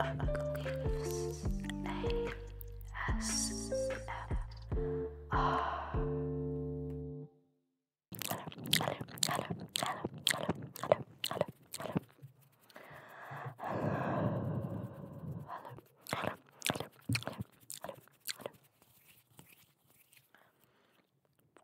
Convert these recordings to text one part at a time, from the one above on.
Ugly's ASMR. hello, hello, hello, hello, hello, hello, hello, hello, hello.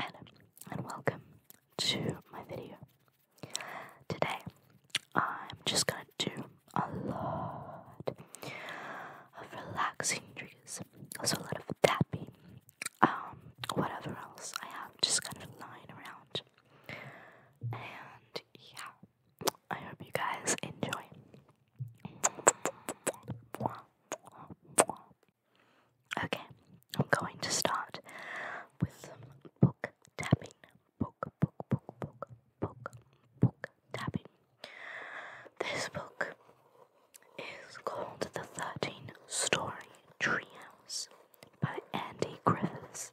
Hello and welcome to my video. Today I'm just gonna do a lot of relaxing triggers, also a lot of tapping, um, whatever else I have just kind of lying around. And yeah, I hope you guys enjoy. Okay, I'm going to start with book tapping. Book, book, book, book, book, book tapping. This book is called The 13 Story Treehouse by Andy Griffiths.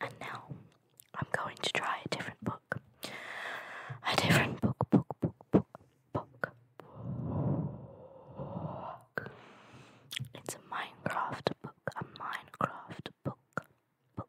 And now I'm going to try a different book. A different book, book, book, book, book. book. It's a Minecraft book, a Minecraft book, book.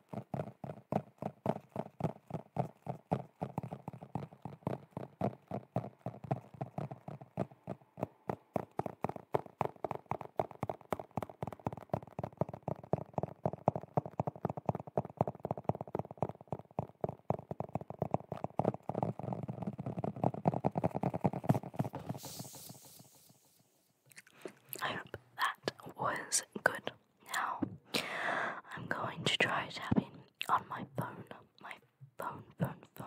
I hope that was good. Now, I'm going to try tapping on my phone, my phone, phone, phone.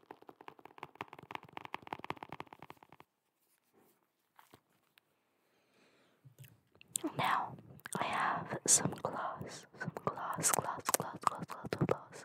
Now I have some gloss, some gloss, gloss, gloss, gloss, gloss, gloss, gloss.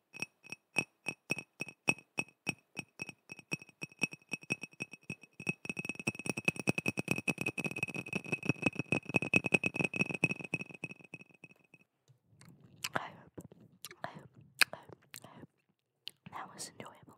I hope, I hope, I hope, I hope that was enjoyable.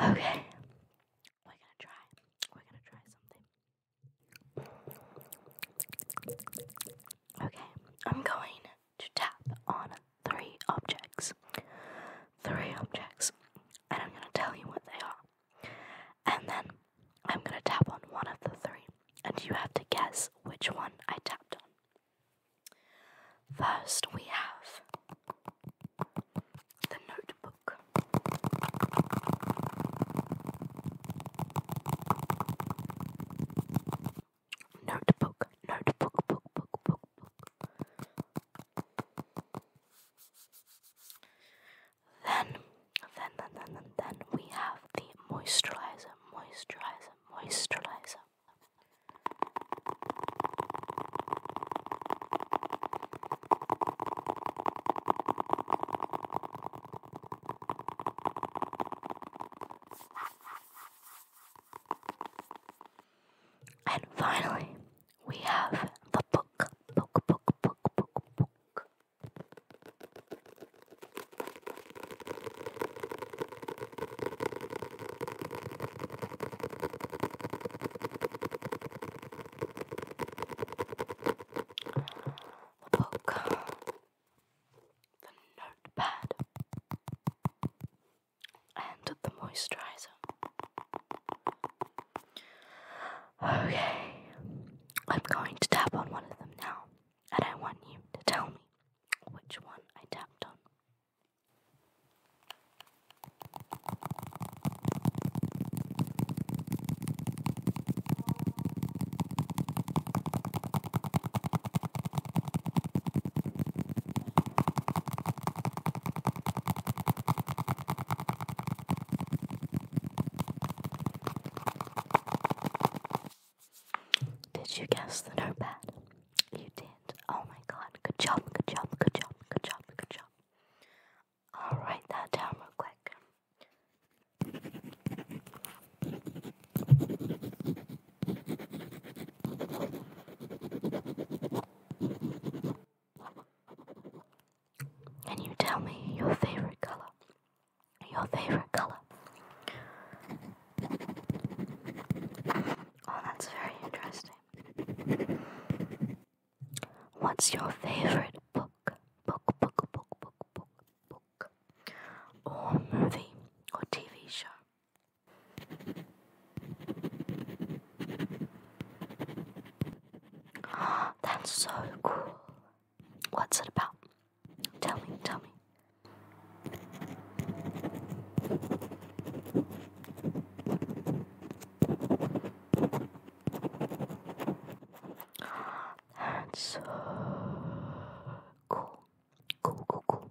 Okay. We're going to try. We're going to try something. Okay. I'm going to tap on three objects. Three objects. And I'm going to tell you what they are. And then I'm going to tap on one of the three. And you have to guess which one I tapped on. First, we have the notebook. Notebook, notebook, book, book, book, book. Then, then, then, then, then, we have the moisturizer, moisturizer, moisturizer. And finally, we have the book. Book, book, book, book, book. The book. The notepad and the moisturizer. Okay, I'm going to tap on one of them now, and I want you to tell me which one I tapped on. Did you guess the notepad? You did. Oh my god. Good job, good job, good job, good job, good job. I'll write that down real quick. Can you tell me your favorite color? Your favorite color? Oh, that's very interesting. What's your favorite book? Book, book, book, book, book, book. Or movie or TV show? That's so cool. What's it about? Tell me, tell me. That's so cool. Cool, cool, cool.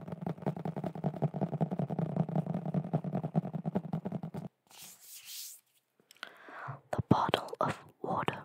The bottle of water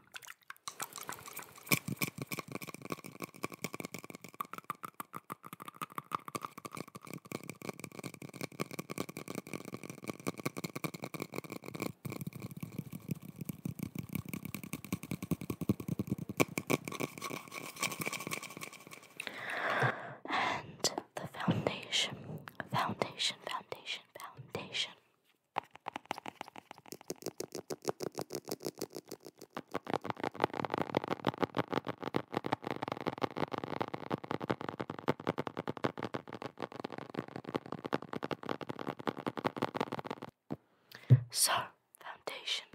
and the foundation, foundation, foundation, foundation. So, foundation.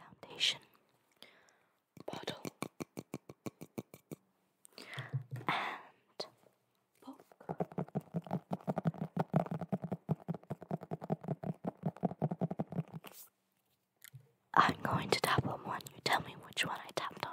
Foundation bottle and book. I'm going to tap on one. You tell me which one I tapped on.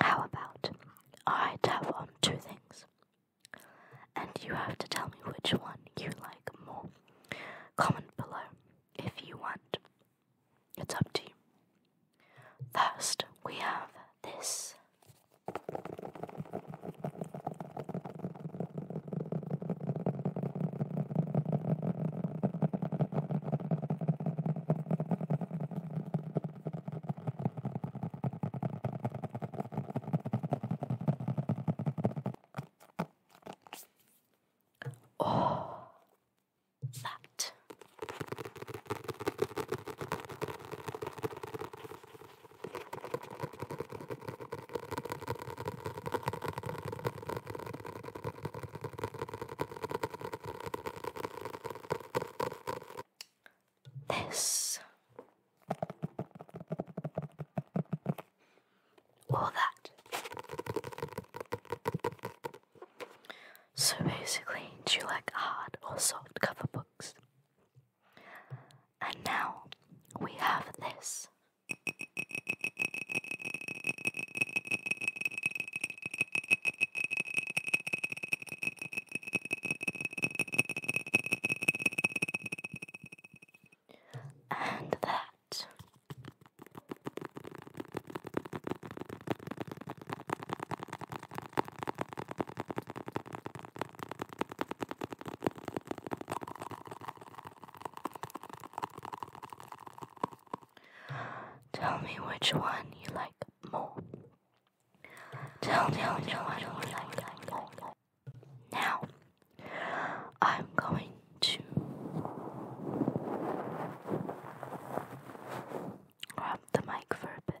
How about I tap on two things and you have to tell me which one you like more? Comment below if you want. It's up to you. First, we have this. Oh, that. This or that. So basically, do you like hard or soft cover books? And now we have this. And that Tell me which one you like more. Tell me which one you like more. Now, I'm going to grab the mic for a bit.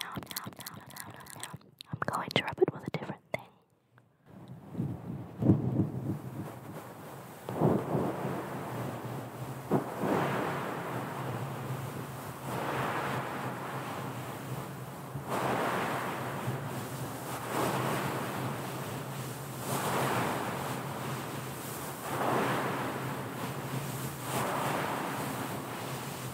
now, now, now, now, now, now, I'm going to rub it with a different thing.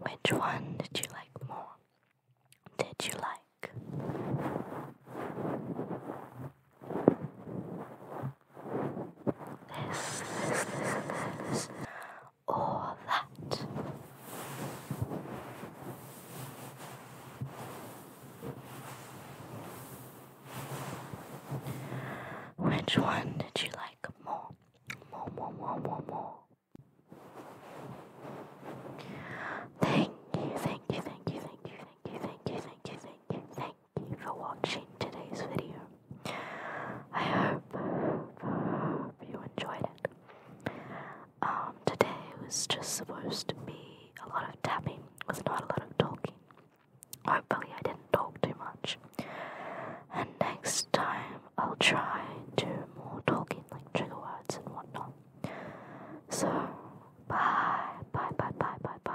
Which one did you like more? Did you like? this, this, this, this, or that. Which one did you like more? More, more, more, more, more. Thank you, thank you, thank you, thank you, thank you, thank you, thank you, thank you, thank Thank you for watching today's video. I hope, you enjoyed it. Um, today was just supposed to be a lot of tapping with not a lot of talking. Hopefully, I didn't talk too much. And next time, I'll try to more talking, like trigger words and whatnot. So, bye, bye, bye, bye, bye, bye.